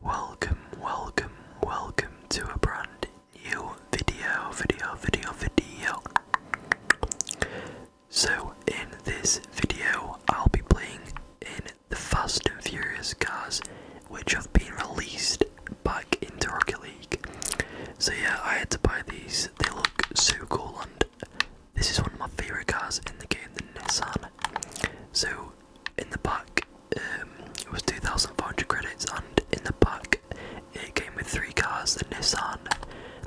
Welcome, welcome, welcome to a brand new video, video, video, video. So, in this video, I'll be playing in the Fast and Furious cars which have been released by into Rocket League. So, yeah, I had to buy these, they look so cool, and this is one of my favourite cars in the game, the Nissan. So, in the pack um, it was 2,500 credits, and in the pack it came with three cars: the Nissan,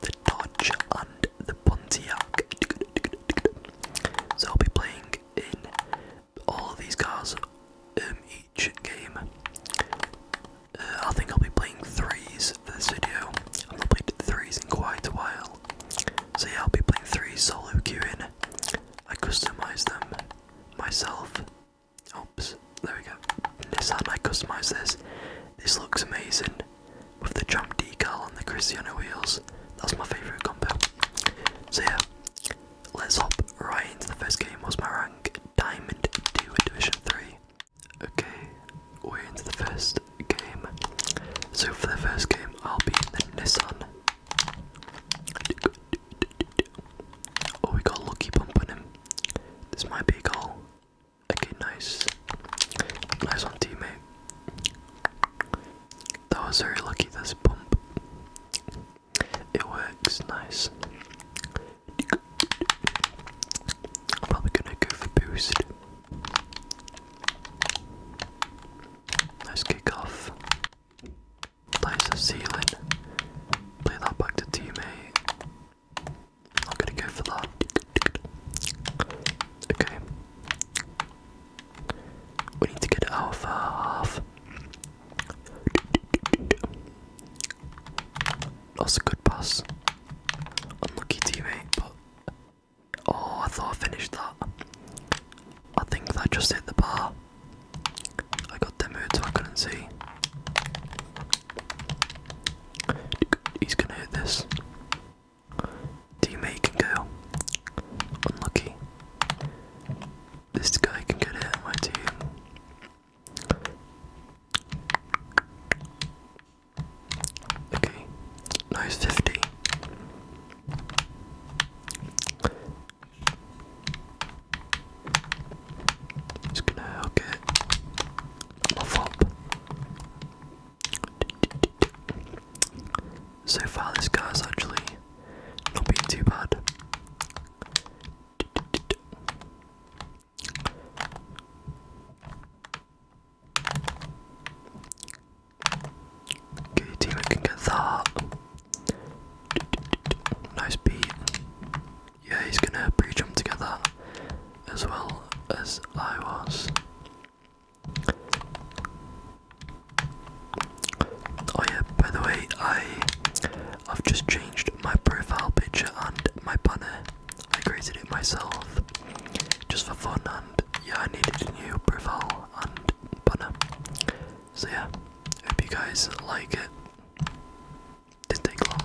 the Dodge, and the Pontiac. So I'll be playing in all of these cars in um, each game. Uh, I think I'll be playing threes for this video. I've not played threes in quite a while. So I'll be playing three solo queuing. I customise them myself. Oops, there we go. In this hand I customise this. This looks amazing with the jump decal on the Cristiano wheels. That's my favourite combo. So yeah, let's hop right into the first game. What's my rank? Diamond 2 in Division 3. Okay, we're into the first game. So for the first game I'll be in the Nissan Oh, we got lucky bump on him. This might be a goal. Okay, nice. Nice on teammate. That was very lucky, this bump. It works, nice. probably gonna go for boost. Nice kick off. Nice of ceiling. Play that back to teammate. I'm gonna go for that. Okay. We need to get it out That's a good pass. Unlucky teammate, but oh, I thought I finished that. I think that just hit the bar. I got demoed so I couldn't see. He's gonna hit this. Teammate can go. Unlucky. This guy can get it, my team. Okay, nice 50. Just gonna hook it. So far, this guy's actually not being too bad. Okay, team, I can Nice beat. Yeah, he's gonna pre jump together as well as I was. Oh yeah, by the way, I I've just changed my profile picture and my banner. I created it myself just for fun and yeah I needed a new profile and banner. So yeah, hope you guys like it. Didn't take long.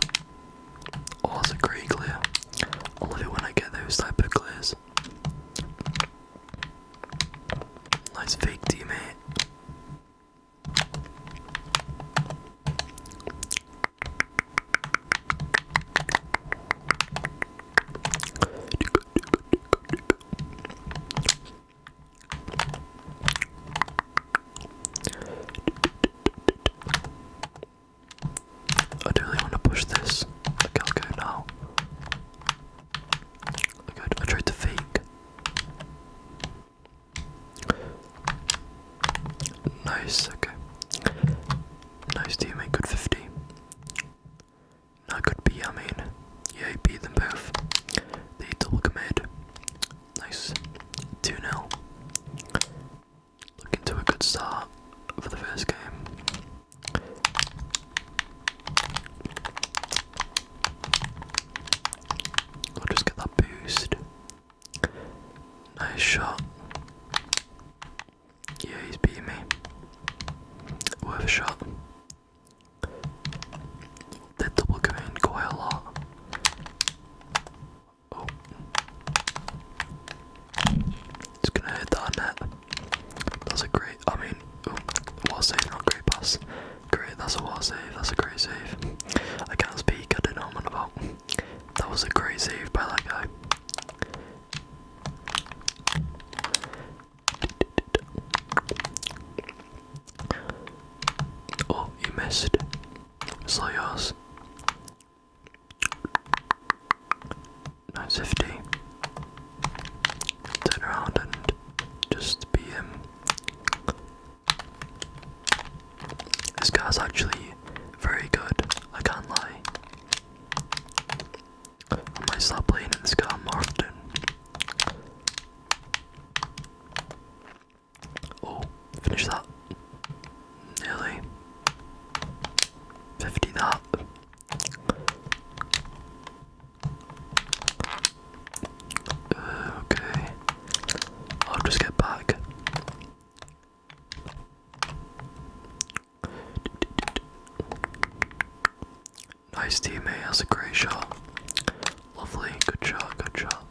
Oh, clear. love it when I get those type of clears. Nice fake teammate. I do really want to push this. Okay, I'll go now. Okay, I tried to fake. Nice, okay. Nice, do you make good 50? That could be, I mean, yeah, he beat both. They double commit. Nice. 2 0. Looking to a good start for the first game. I'll just get that boost. Nice shot. Yeah, he's beating me. Worth a shot. The double grind quite a lot. Oh. Just gonna hit that net. That's a great, I mean, oh, wall save, not great pass. Great, that's a wall save, that's a great save. I can't speak, I don't know what I'm about. That was a great save by that guy. Oh, you missed. It's not yours. 950. Turn around and just be him. This guy's actually very good, I can't lie. I might start playing in this game often. Oh, finish that. Nearly. 50 that. okay. I'll just get back. Nice teammate, eh? that's a great shot. Lovely, good shot, good shot.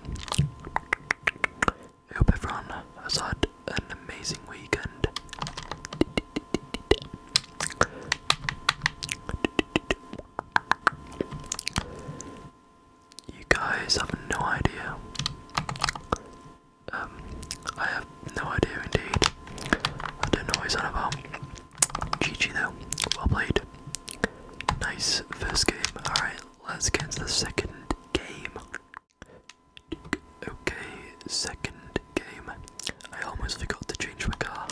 I hope everyone has had an amazing weekend. You guys have no idea. Um, I have no idea indeed. I don't know what about. GG though, well played. Nice first game. Alright, let's get to the second game. Okay, second game. I almost forgot to change my car.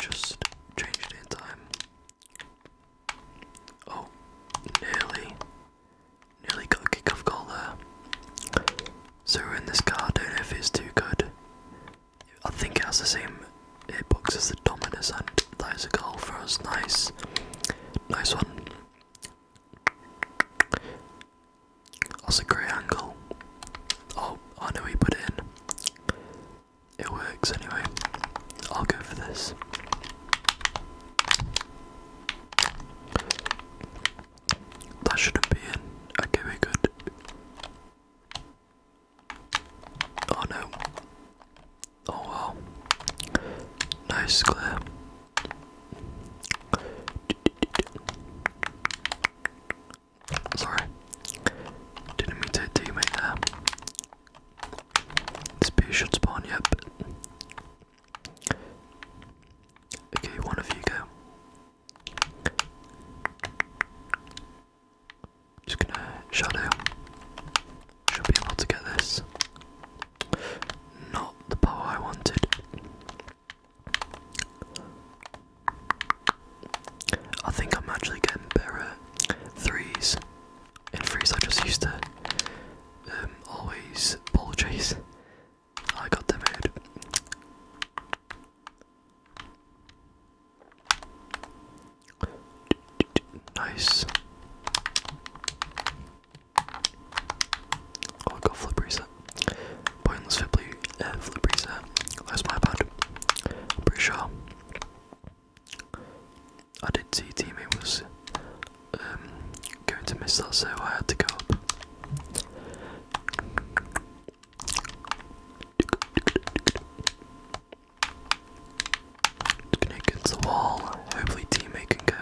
Just changed it in time. Oh, nearly. Nearly got a kickoff goal there. So we're in this car, don't know if it's too good. I think it has the same airbox as the Dominus, and that is a goal for us. Nice, nice one. That's a great angle. Oh, I know he put it in. It works anyway. I'll go for this. That shouldn't be in. Okay, we're good. Oh no. Oh wow. Nice glare. Sorry. Didn't mean to do you there. This beast should spawn, yet. Okay, one of you go. Just gonna shadow. Should be able to get this. Not the power I wanted. I think I'm actually getting better threes. In threes, I just used to um, always ball chase. I got them out. Nice. Oh, I got flip reset. Pointless flip, reset. Where's my bad? am pretty sure. I did see teammate was um, going to miss that, so I had to go up. It's gonna the wall. Hopefully teammate can go.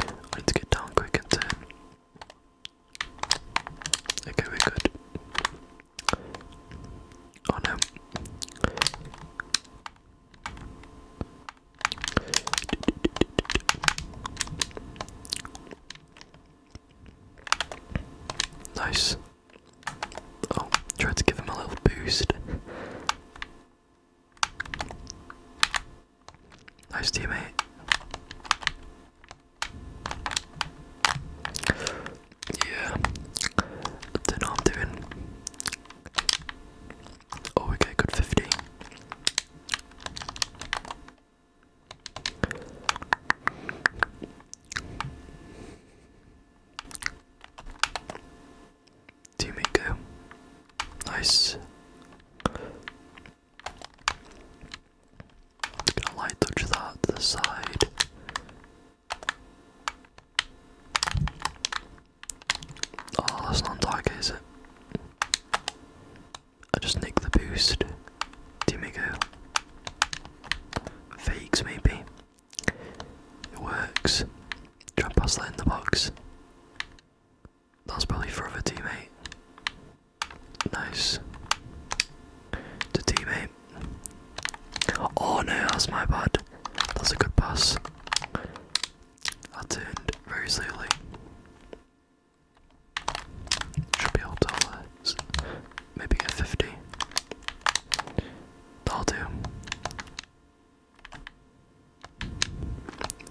I need get down quick and Okay, we're good. Oh no. Nice. Oh, tried to give him a little boost. Nice teammate. Yeah. I I'm doing. Oh, we get good 50. Teammate Nice. Gonna light touch that to side. Oh, that's not on is it? I just nicked the boost. Dimigo. Fakes maybe. It works. Try and pass that in the box. That's probably for the teammate. Nice. To teammate. Oh no, that's my butt. That's a good pass. I turned very slowly. Should be able to maybe get 50. That'll do.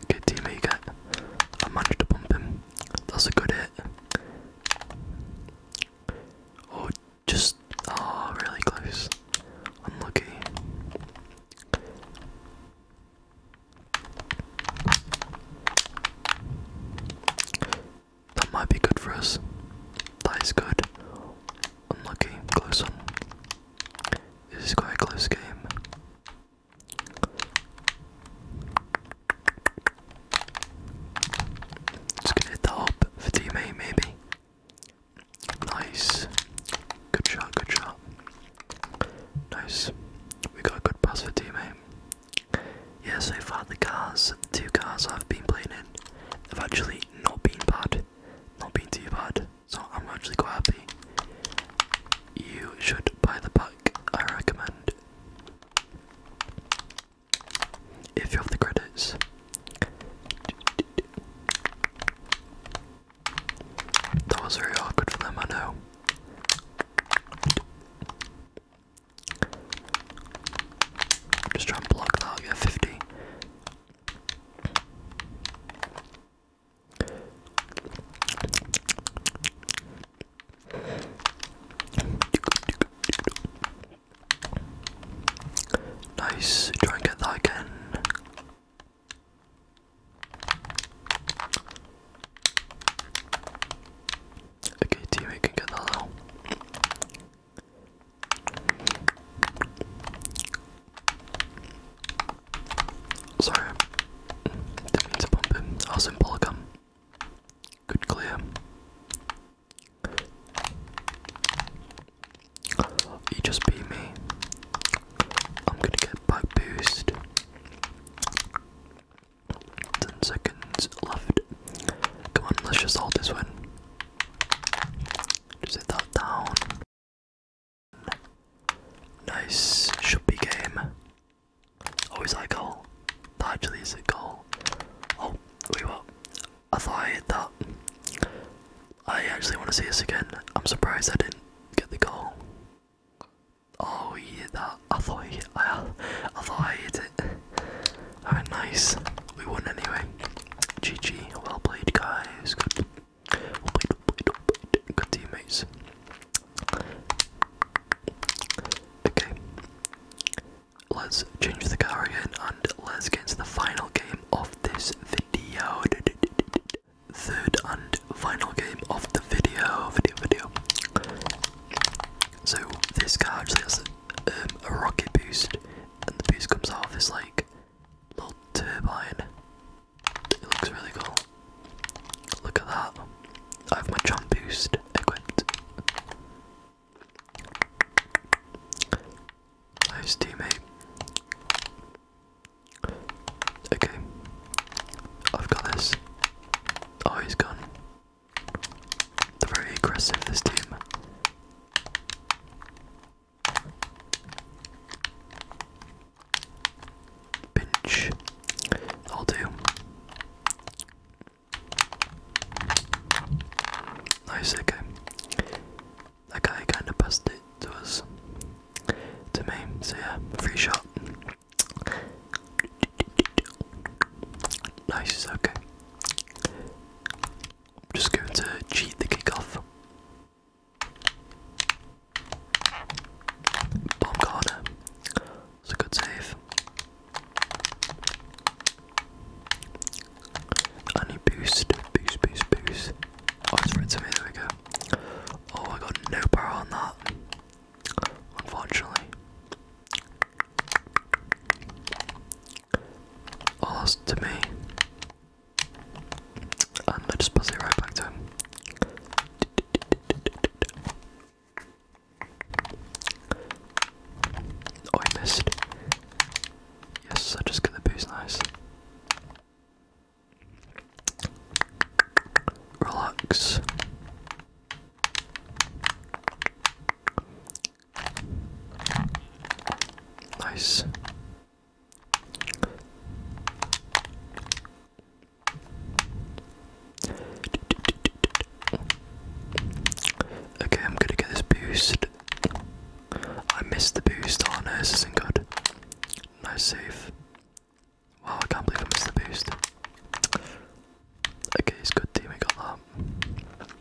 Good teammate, get. I managed to bump him. That's a good hit. Oh, just. Oh, really close. Unlucky. That might be good for us. That is good. Unlucky, close one. This is quite a close game. Just gonna hit that up for teammate, maybe. Nice. Good shot, good shot. Nice. We got a good pass for teammate. Yeah, so far the cars, the two cars I've been playing in, have actually not been bad, not been too bad. So I'm actually quite happy. You should buy the pack. I recommend if you have the credits. That was very awkward for them, I know. Just try and block that. Yeah, fifty. Nice. Try and get that again. Okay, teammate can get that now. Sorry, to bump him. I was in polygum. Good clear. You just beat me. I'm gonna get back boost. Ten seconds left. Come on, let's just hold this one. Just hit that down. Nice, should be game. Oh, is that goal? That actually is a goal. Oh, we what? I thought I hit that. I actually want to see this again. I'm surprised I didn't get the goal. Oh, he hit that. I thought I, I thought I hit it. Alright, nice. We won anyway. GG. Well played, guys. Well played, well played, played. Good teammates. Okay. Let's change the car again and let's get into the final game of this video. Third and final game of the video. Video, video. So, this car actually um, a rocket boost, and the boost comes out of this like little turbine. It looks really cool. Look at that. I have my jump boost equipped. Nice teammate. Okay, I've got this. Oh, he's gone. They're very aggressive, this team. Pinch. I'll do. Nice, okay. That guy kinda passed it to us. To me, so yeah, free shot. Nice, okay. I'm just going to cheat the kickoff. Bomb corner. It's a good save. I need boost, boost, boost, boost. Oh, it's right to me, there we go. Oh, I got no power on that. Unfortunately. Lost to me. And I just pass it right back to him. Oh, I missed. Yes, I just got the boost, nice. Relax. Nice. Okay, I'm gonna get this boost. I missed the boost. Oh no, this isn't good. Nice save. Wow, I can't believe I missed the boost. Okay, it's good team, we got that.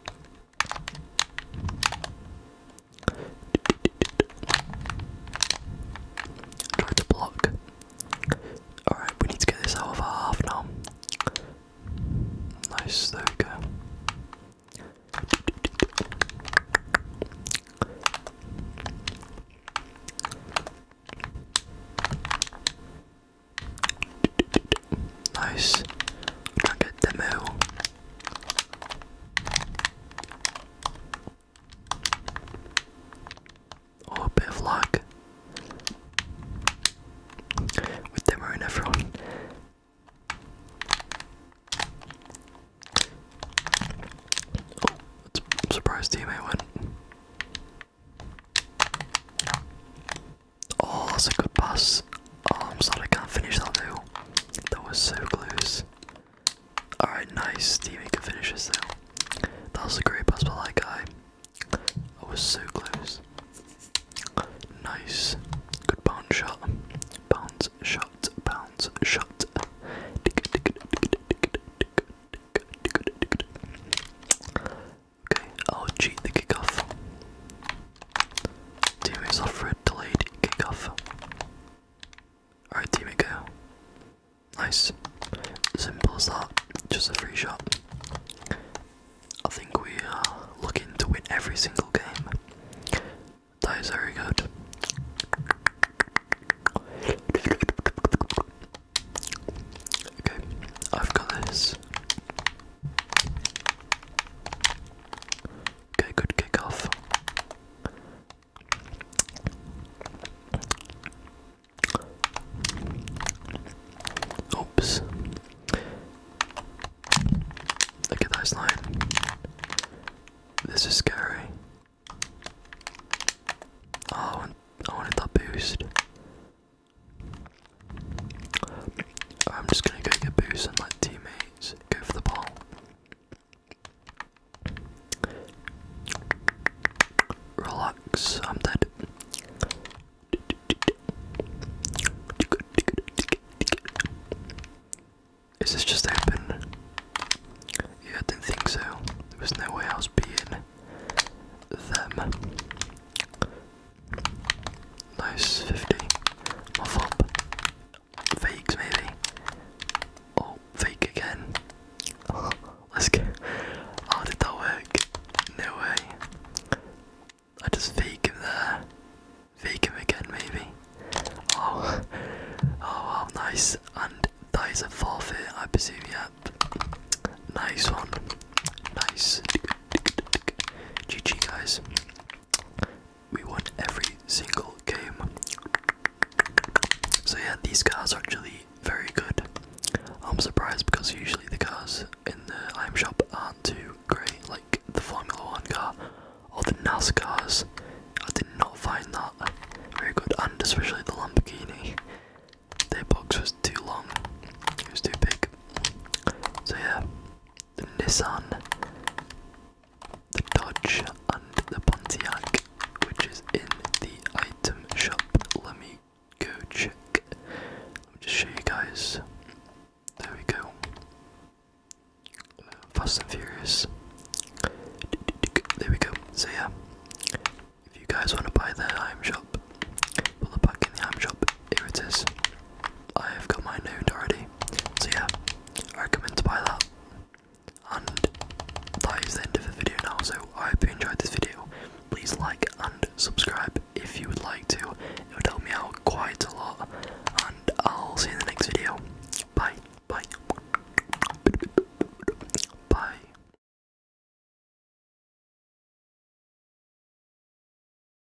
Try to block. Alright, we need to get this out half now. Nice, there we go. Nice. Try demo. Oh, a bit of luck with demo and everyone. Oh, i teammate went. Oh, that's a good pass. I'm sorry I can't finish that now. That was so close. Alright, nice. Steamy can finish this now. That was a great pass by that guy. I was so close. Nice. Good bounce shot. Bounce shot. Bounce shot. Okay, I'll cheat the kickoff. Teammates offer a delayed kickoff. Alright, team, teammate, go. Nice. Simple as that. Just a free shot. I think we are looking to win every single game. That is very good. Okay, I've got this. Okay, good kickoff. Oops. Look at that slime. This is scary. Oh, I wanted that boost. I'm just gonna go get boost and let teammates go for the ball. Relax, I'm dead. Is this just open? Yeah, I didn't think so. There was no way I was being them. Nice 50. Muff up. Fakes maybe. Oh, fake again. let's go. How oh, did that work? No way. I just fake him there. Fake him again maybe. Oh, oh wow, nice. And that is a forfeit, I presume, yep. Nice one. Nice. GG, guys. We won every single game. So, yeah, these cars are actually very good. I'm surprised because usually the cars in the IM shop aren't too great, like the Formula One car or the NASCARs. I did not find that very good, and especially the Lamborghini. Their box was too long, it was too big. So, yeah, the Nissan, the Dodge, and the Pontiac, which is in the item shop. Let me go check. Let me just show you guys. There we go. Fast and Furious. There we go. So yeah, if you guys want to buy the item shop, put the buck in the item shop. Here it is. I've got mine owned already. So yeah, I recommend to buy that. And that is the end of the video now, so I hope you enjoyed this video. Please like and subscribe if you would like to. It would help me out quite a lot. And I'll see you in the next video. Bye. Bye. Bye.